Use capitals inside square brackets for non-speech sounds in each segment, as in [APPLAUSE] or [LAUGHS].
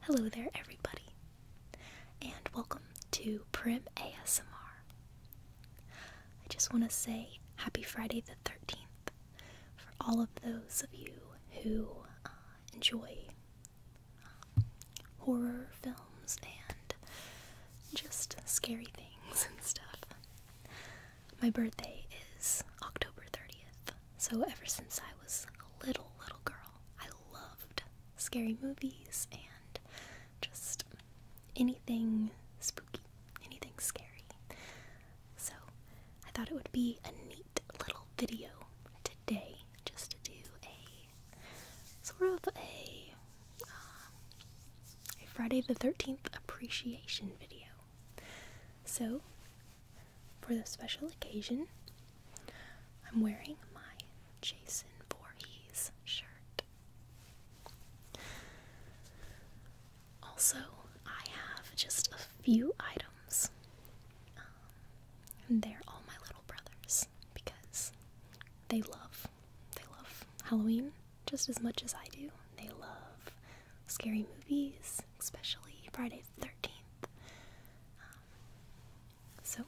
Hello there, everybody, and welcome to Prim ASMR. I just want to say happy Friday the 13th for all of those of you who uh, enjoy um, horror films and just scary things [LAUGHS] and stuff. My birthday is October 30th, so ever since I was a little, little girl, I loved scary movies and just anything spooky, anything scary. So I thought it would be a neat little video today just to do a sort of a, um, a Friday the 13th appreciation video. So for the special occasion, I'm wearing my Jason Voorhees shirt. Also, I have just a few items. and um, they're all my little brothers because they love they love Halloween just as much as I do. They love scary movies, especially Friday the 13th. Um, so,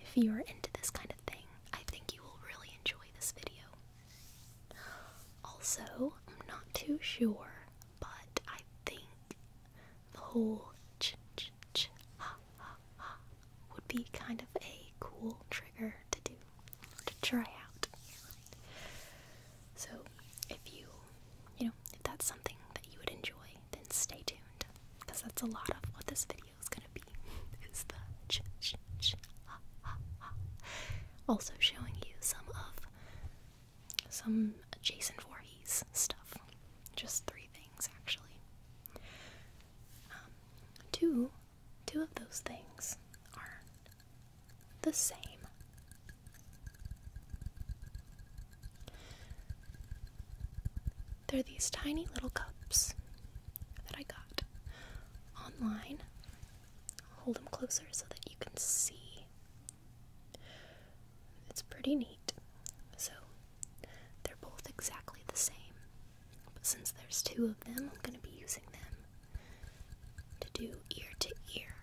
if you're into this kind of thing, I think you will really enjoy this video. Also, I'm not too sure, but I think the whole would be kind of a cool trigger to do, to try out. So if you, you know, if that's something that you would enjoy, then stay tuned because that's a lot of what this video is gonna be. Is the ch ch ch ha ha ha. Also showing you some of some Jason Voorhees stuff. Just three things actually. Um, two, two of those things are the same they're these tiny little cups that I got online. Hold them closer so that you can see. It's pretty neat. So they're both exactly the same. But since there's two of them, I'm going to be using them to do ear to ear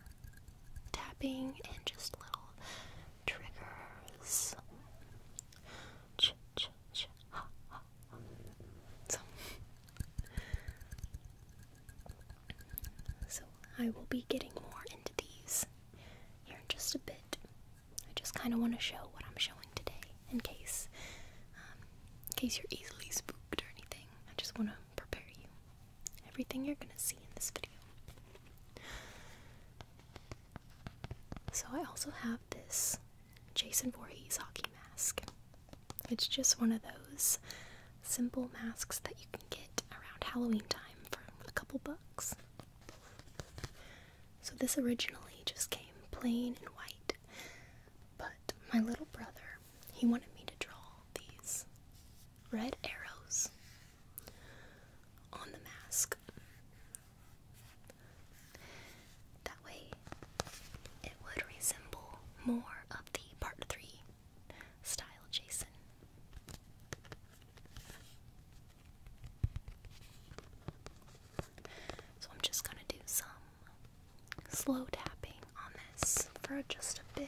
tapping and just little triggers. So, so I will be getting more into these here in just a bit. I just kind of want to show what I'm showing today, in case, um, in case you're easily spooked or anything. I just want to prepare you everything you're gonna see in this video. So, I also have this Jason Voorhees hockey mask. It's just one of those simple masks that you can get around Halloween time for a couple bucks. So, this originally just came plain and white, but my little brother, he wanted me to draw these red arrows on the mask. That way, it would resemble more of the Part 3 style Jason. So I'm just going to do some slow tapping on this for just a bit.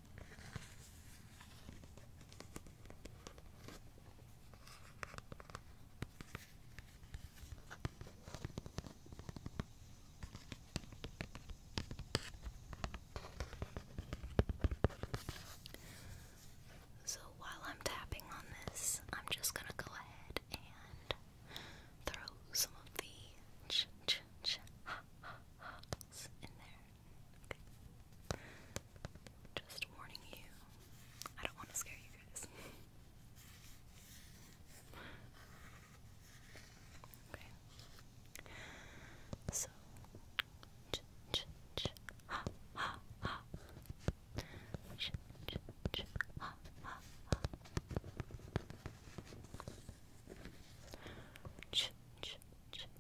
So while I'm tapping on this, I'm just gonna go ahead and throw some of the ch ch ch ha ha ha's in there. Okay. Just warning you. I don't want to scare you guys. [LAUGHS] okay. So,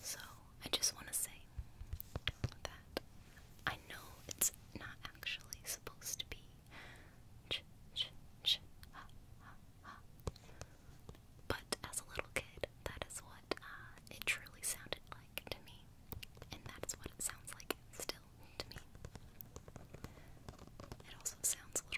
So, I just want to say that I know it's not actually supposed to be But as a little kid, that is what uh, it truly sounded like to me. And that's what it sounds like still to me. It also sounds a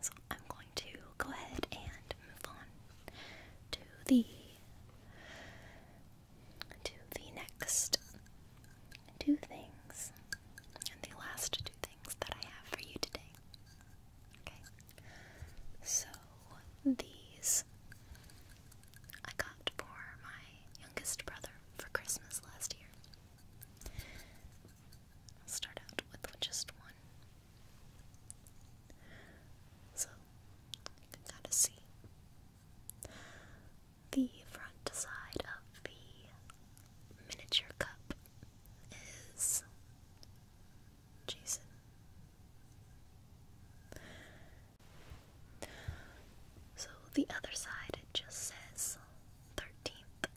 So I'm going to go ahead and move on to the to the next two things and the last two things that I have for you today. Okay. So these I got for my youngest brother for Christmas last year start out with just one. So, you can kind of see the front side of the miniature cup is Jason. So the other side just says 13th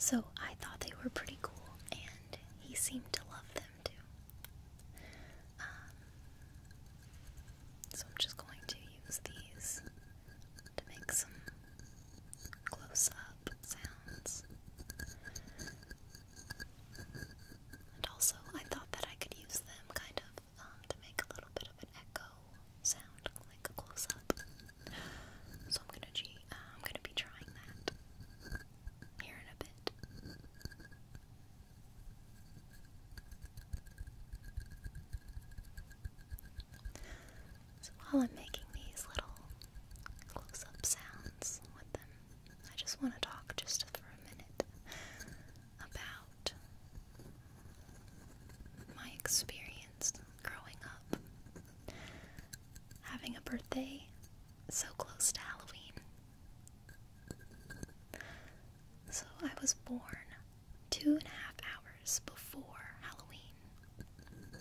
so I thought they were pretty cool, and he seemed to love them too. Um, so I'm just going to use these to make some close up sounds. And also, I thought that I could use them kind of um, to make a little bit of an echo sound, like a close up. So I'm gonna uh, be trying that here in a bit. So while I'm making these little close up sounds with them, I just want to talk just for a minute about my experience growing up. Having a birthday so close to Halloween. So I was born two and a half hours before Halloween.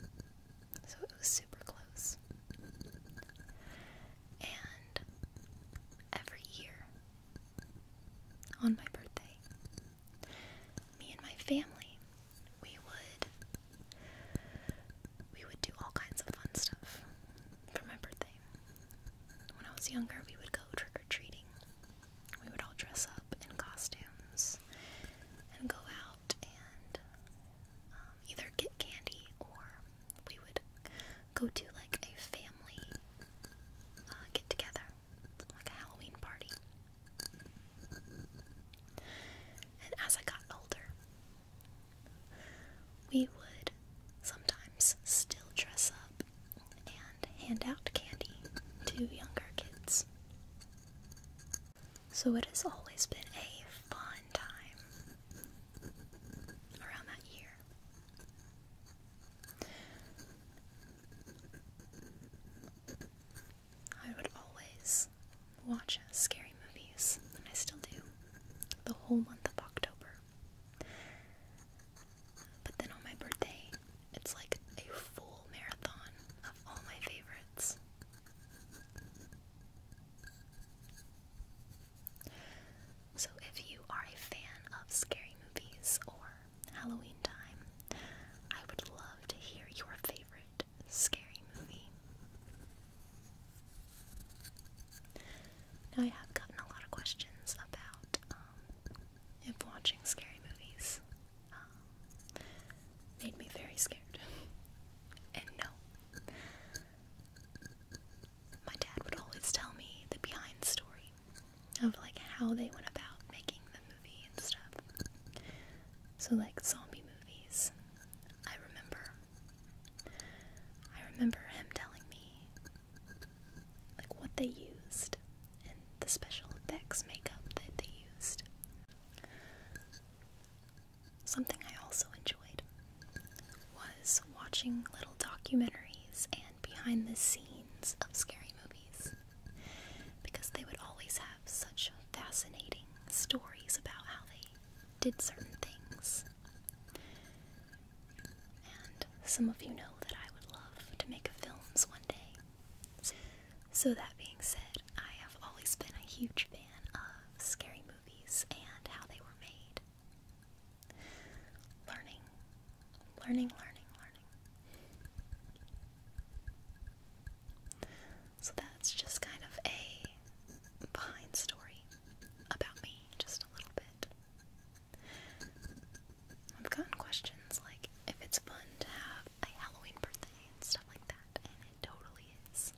So it was super close and every year on my birthday, me and my family, we would we would do all kinds of fun stuff for my birthday. When I was younger, we would go trick or treating. We would all dress up in costumes and go out and um, either get candy or we would go to like a family uh, get together, like a Halloween party. And as I got older, we would sometimes still dress up and hand out candy to younger kids. So it has always been a fun time around that year. I would always watch scary movies, and I still do, the whole month of October. But then on my birthday, it's like a full marathon of all my favorites. So, if you are a fan of scary movies or Halloween time, I would love to hear your favorite scary movie. Now, I have gotten a lot of questions about um, if watching scary movies um, made me very scared. [LAUGHS] And no, my dad would always tell me the behind story of like how they went about making the movie and stuff. So like zombie movies, I remember. I remember him telling me like what they used and the special effects makeup that they used. Something I also enjoyed was watching little documentaries and behind the scenes of scary movies because they would always have such fascinating stories about how they did certain things. And some of you know that I would love to make films one day. So, that being said, I have always been a huge fan of scary movies and how they were made. Learning, learning, learning, learning. So that's just kind of a behind story about me, just a little bit. I've gotten questions like if it's fun to have a Halloween birthday and stuff like that, and it totally is.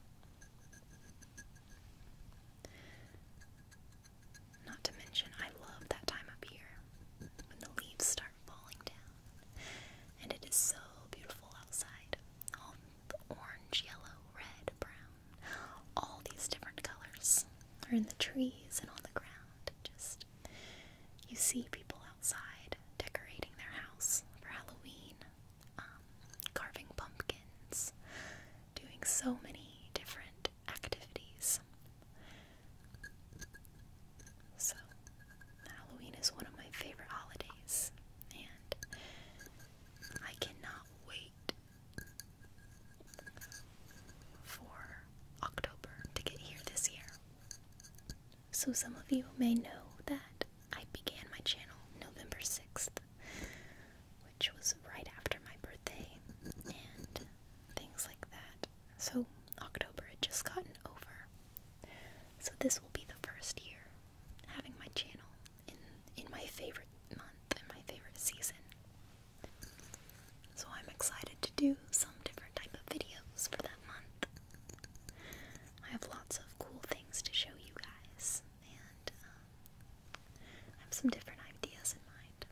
Not to mention, I love that time up here when the leaves start falling down and it is so beautiful outside. All orange, yellow, red, brown, all these different colors are in the trees and on the ground. Just you see people outside decorating their house for Halloween, um, carving pumpkins, doing so many different activities. So, Halloween is one of my favorite holidays, and I cannot wait for October to get here this year. So, some of you may know that I began my channel November 6th which was right after my birthday, and things like that. So, October had just gotten over. So, this will be the first year having my channel in, in my favorite month and my favorite season. So, I'm excited to do some different type of videos for that month. I have lots of cool things to show you guys and um, I have some different ideas in mind.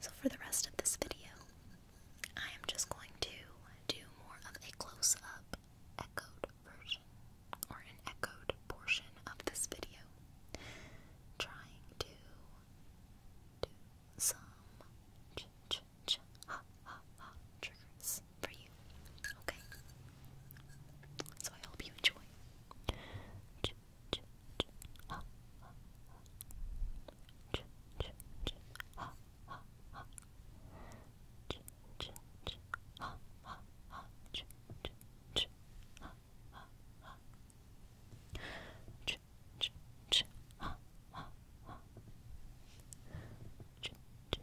So, for the rest of this video, I am just going to do more of a close up, echoed version or an echoed portion of this video, trying to do some ha ha ha triggers for you Okay. So I hope you enjoy.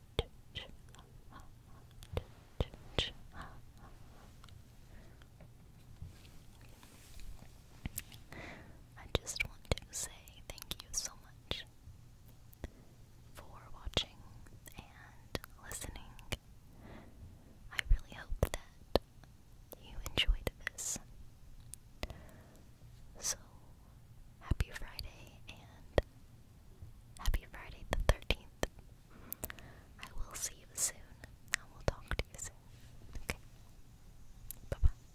I just want to say thank you so much for watching and listening. I really hope that you enjoyed this. So, happy Friday and Happy Friday the 13th. I will see you soon. I will talk to you soon. Okay. Bye